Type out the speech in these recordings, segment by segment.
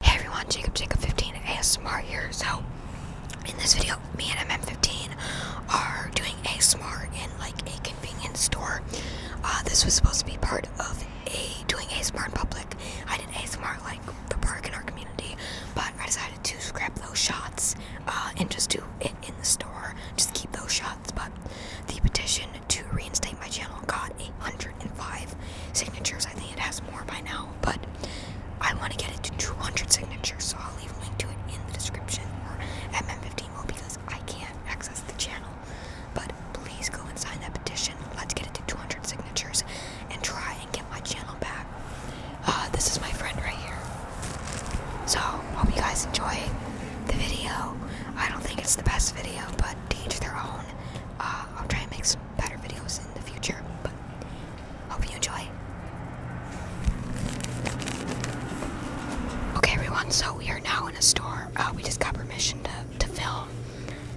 Hey everyone, Jacob Jacob 15 ASMR here. So in this video, me and MM15 are doing ASMR in like a convenience store. Uh, this was supposed to be part of a doing ASMR in public. I did ASMR like the park in our community, but I decided to scrap those shots uh, and just do it in the store. Just keep those shots. But the petition to reinstate my channel got a hundred 105 signatures. I think it has more by now, but I want to get it to 200 signatures, so I'll leave a link to it in the description or 15 mo because I can't access the channel. But please go and sign that petition. Let's get it to 200 signatures and try and get my channel back. Uh, this is my friend right here. So, hope you guys enjoy the video. I don't think it's the best video, but to each their own. Uh, I'll try and make some better videos in the future. But hope you enjoy. Okay, everyone. So we are now in a store. Uh, we just got permission to to film.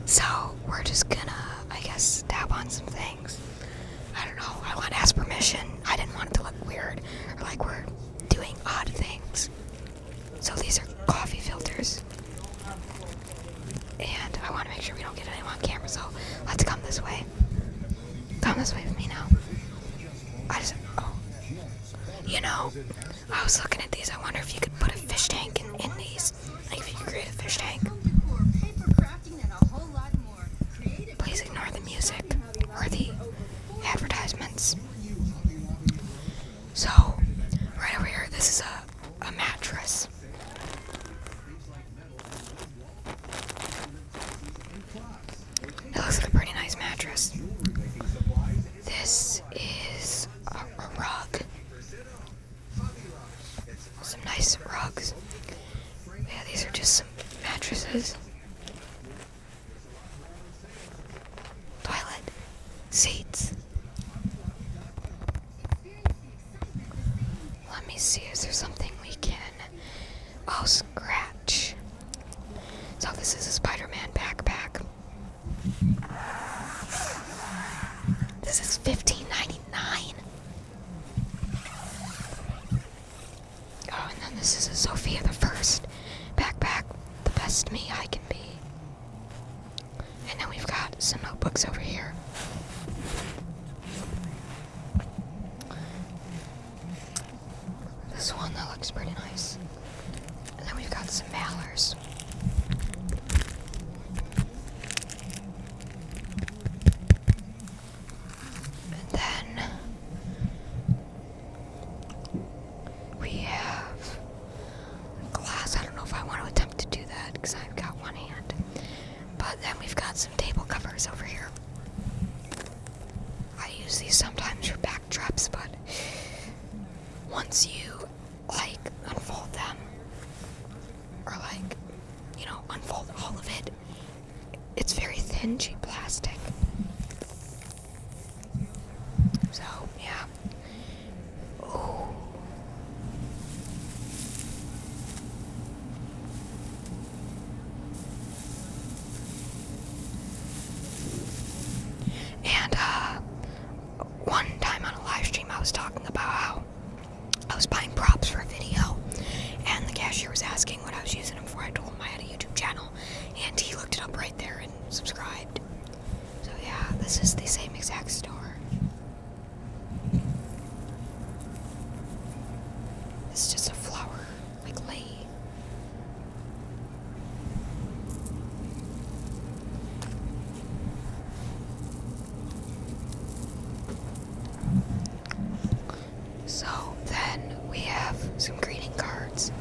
So we're just gonna, I guess, tap on some things. I don't know. I want to ask permission. I didn't want it to look weird or like we're doing odd things. So these are coffee filters. And I want to make sure we don't get anyone on camera, so let's come this way. Come this way with me now. I just, oh. You know, I was looking at these. I wonder if you could put a fish tank in, in these. Like if you could create a fish tank. Please ignore the music or the advertisements. So, right over here, this is a, a mattress. That looks like a pretty nice mattress. This is a, a rug. Some nice rugs. Yeah, these are just some mattresses. Toilet. Seats. Let me see, is there something we can. Oh, scratch. So, this is a Spider Man backpack. This is fifteen ninety-nine. Oh, and then this is a Sophia the First backpack. The best me I can be. And then we've got some notebooks over here. This one that looks pretty nice. And then we've got some mallards. And then we have glass. I don't know if I want to attempt to do that because I've got one hand. But then we've got some table covers over here. I use these sometimes for backdrops, but once you like unfold them or like you know unfold all of it, it's very thin, cheap plastic. So yeah, and uh, one time on a live stream, I was talking about how I was buying props for a video, and the cashier was asking what I was using before I told him I had a YouTube channel, and he looked it up right there and subscribed. So yeah, this is the same exact store. This is just a flower, like lay. So then we have some greeting cards.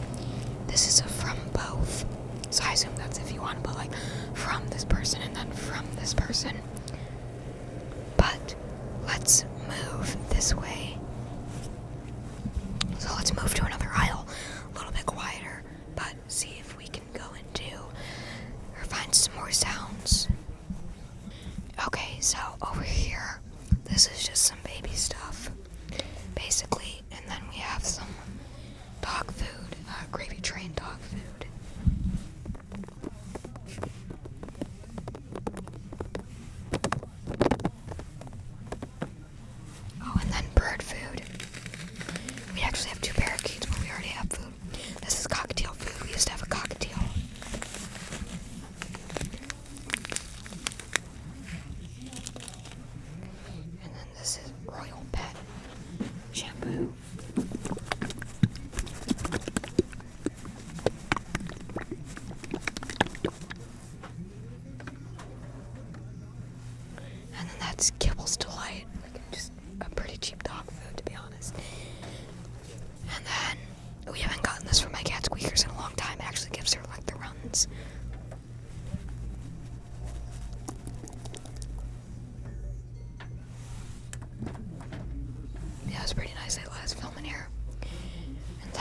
This is a from both so I assume that's if you want, to, but like from this person and then from this person. But let's move this way. So let's move to another aisle, a little bit quieter, but see if we can go into or find some more sounds. Okay, so over here, this is just some baby stuff, basically, and then we have some dog food, uh, gravy train dog food. Oh, and then bird food. We actually have two parakeets, but we already have food. This is cocktail food. We used to have a cocktail this is Royal Pet shampoo. And then that's Kibble's Delight. Like just a pretty cheap dog food to be honest. And then we haven't gotten this from my cat squeakers in a long time. actually gives her like the runs. Yeah, it's pretty nice that last film in here. And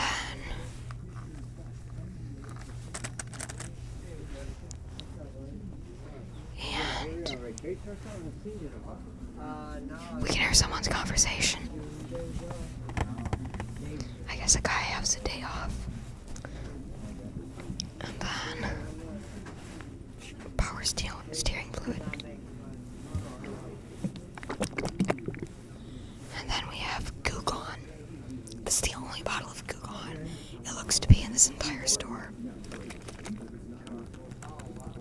then we can hear someone's conversation. I guess the guy has a day off. And then power steering fluid. And then we have Gugon. This is the only bottle of Gugon. It looks to be in this entire store.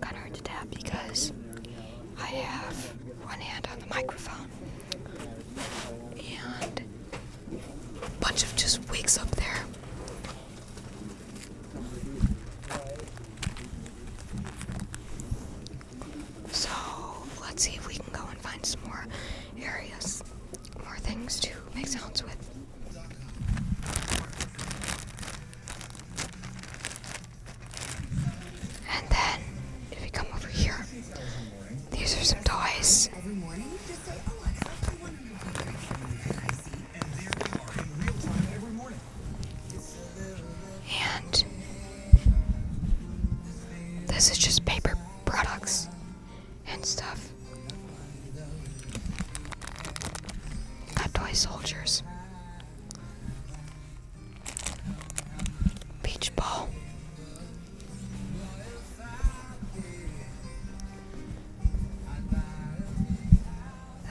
Kind of hard to tap because I have one hand on the microphone and bunch of just wigs up there. So let's see if we can go and find some more areas, more things to make sounds with. And then if we come over here, these are some toys. And this is just paper products and stuff. Not toy soldiers. Beach ball.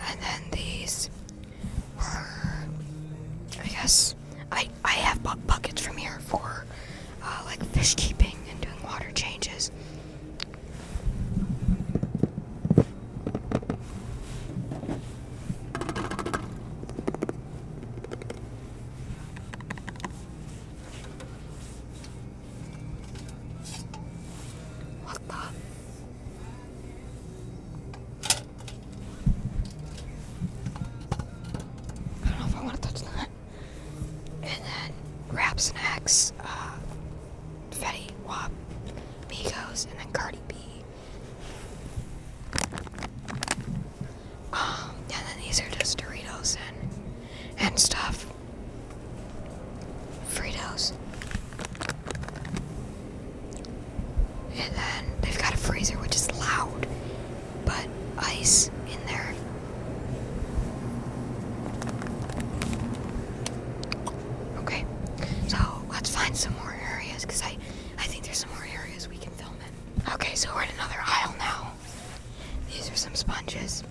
And then these I guess, I, I have buckets from here for uh, like fish keeping and doing water changes. 왔다. I don't know if I want to touch that. And then Rap Snacks, uh, Fetty Wap, Migos, and then Cardi B. Um, and then these are just Doritos and and stuff. Fritos. And then they've got a freezer which is loud, but ice in there. Okay, so let's find some more areas because I, I think there's some more areas we can film in. Okay, so we're in another aisle now. These are some sponges.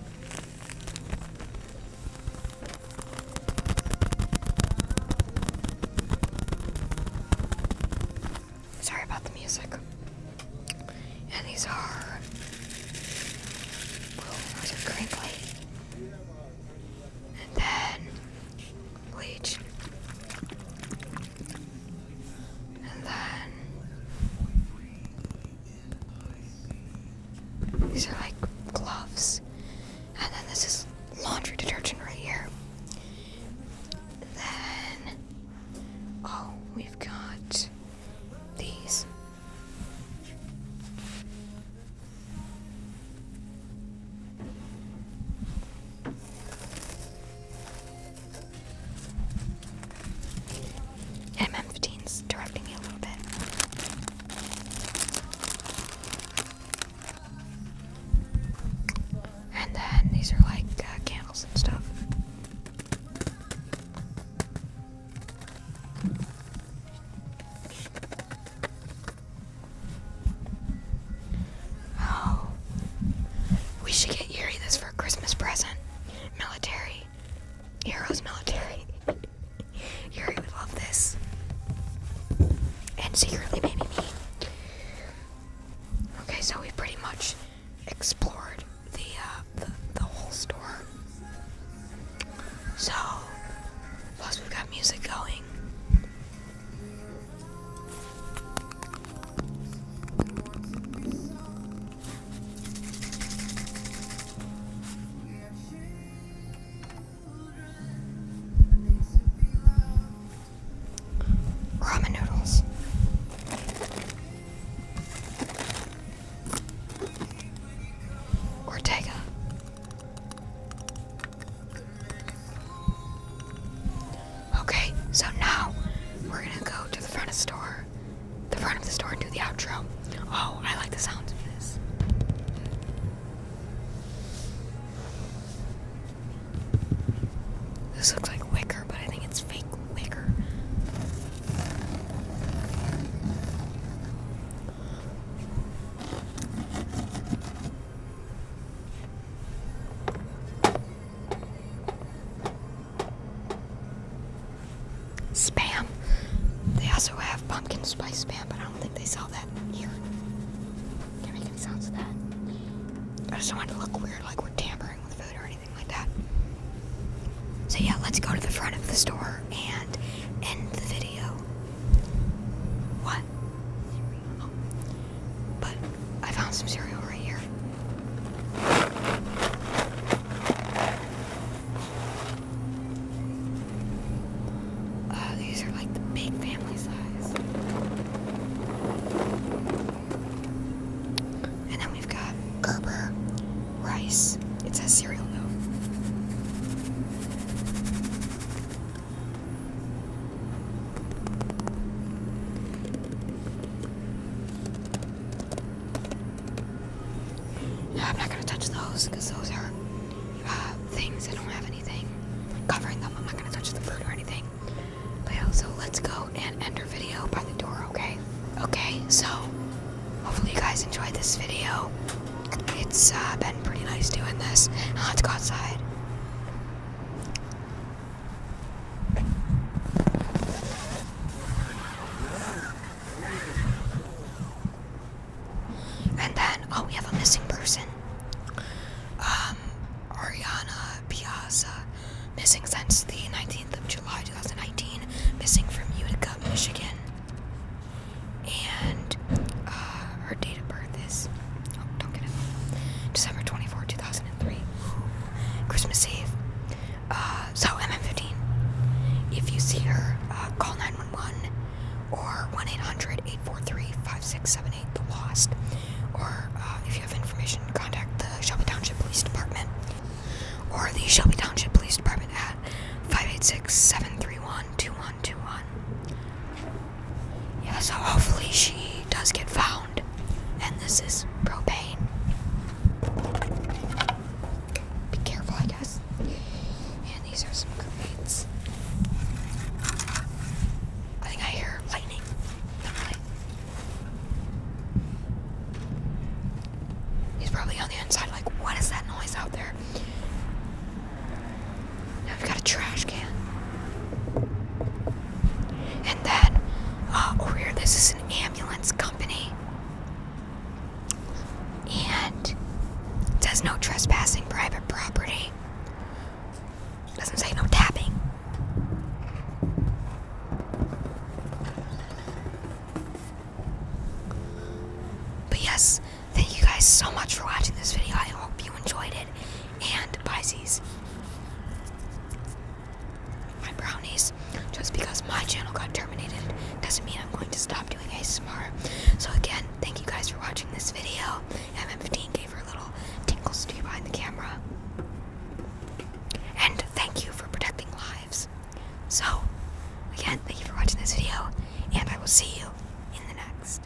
Sorry about the music. And these are. Whoa, those are And then bleach. And then these are like gloves. And then this is laundry detergent right here. then oh, we've got these. And M15's directing me a little bit. And then these are like uh, candles and stuff. Oh, we should get Yuri this for a Christmas present. Military. Heroes military. Yuri would love this. And secretly maybe me. Okay, so we pretty much explored the, uh, the, the whole store. So, plus we've got music going. Ramen noodles. Ortega. Okay, so now we're gonna go to the front of the store, the front of the store, and do the outro. Oh, I like the sounds of this. This looks like wicker, but I think it's fake wicker. Spam. They also have pumpkin spice spam, but I don't think they sell that here. Can't make any sounds with that. I just don't want to look weird, like we're tampering with food or anything like that. So yeah, let's go to the front of the store and end the video. What? But I found some cereal right here. Oh, these are like the big family size. And then we've got Gerber rice. It says cereal though. I'm not gonna touch those because those are uh, things that don't have anything covering them. I'm not gonna touch the food or anything. But yeah, so let's go and end our video by the door, okay? Okay, so hopefully you guys enjoyed this video. It's uh, been pretty nice doing this. Now let's go outside. And then, oh, we have a missing person. Um, Ariana Piazza, missing since the 19th of July 2019, missing from Utica, Michigan. And uh, her date of birth is, oh, December 24, 2003. Christmas Eve. Uh, so MM15. If you see her, uh, call 911 or 1-800-843-5678, the lost. Or uh, if you have information, contact the Shelby Township Police Department or the Shelby Township Police Department at 586-731-2121. Yeah, so hopefully she does get found and this is propane. Be careful, I guess. And these are some grenades. I think I hear lightning. He's probably on the inside, like, what is that noise out there? Now we've got a trash can. And then uh, over here, this is an ambulance company. And says no trespassing private property. It doesn't say no tapping. But yes, thank you guys so much for watching this video. I hope you enjoyed it. And Pisces, my brownies. Just because my channel got terminated doesn't mean I'm going to stop doing ASMR. So again, thank you guys for watching this video. MM15 gave her a little tinkles behind the camera. And thank you for protecting lives. So, again, thank you for watching this video, and I will see you in the next.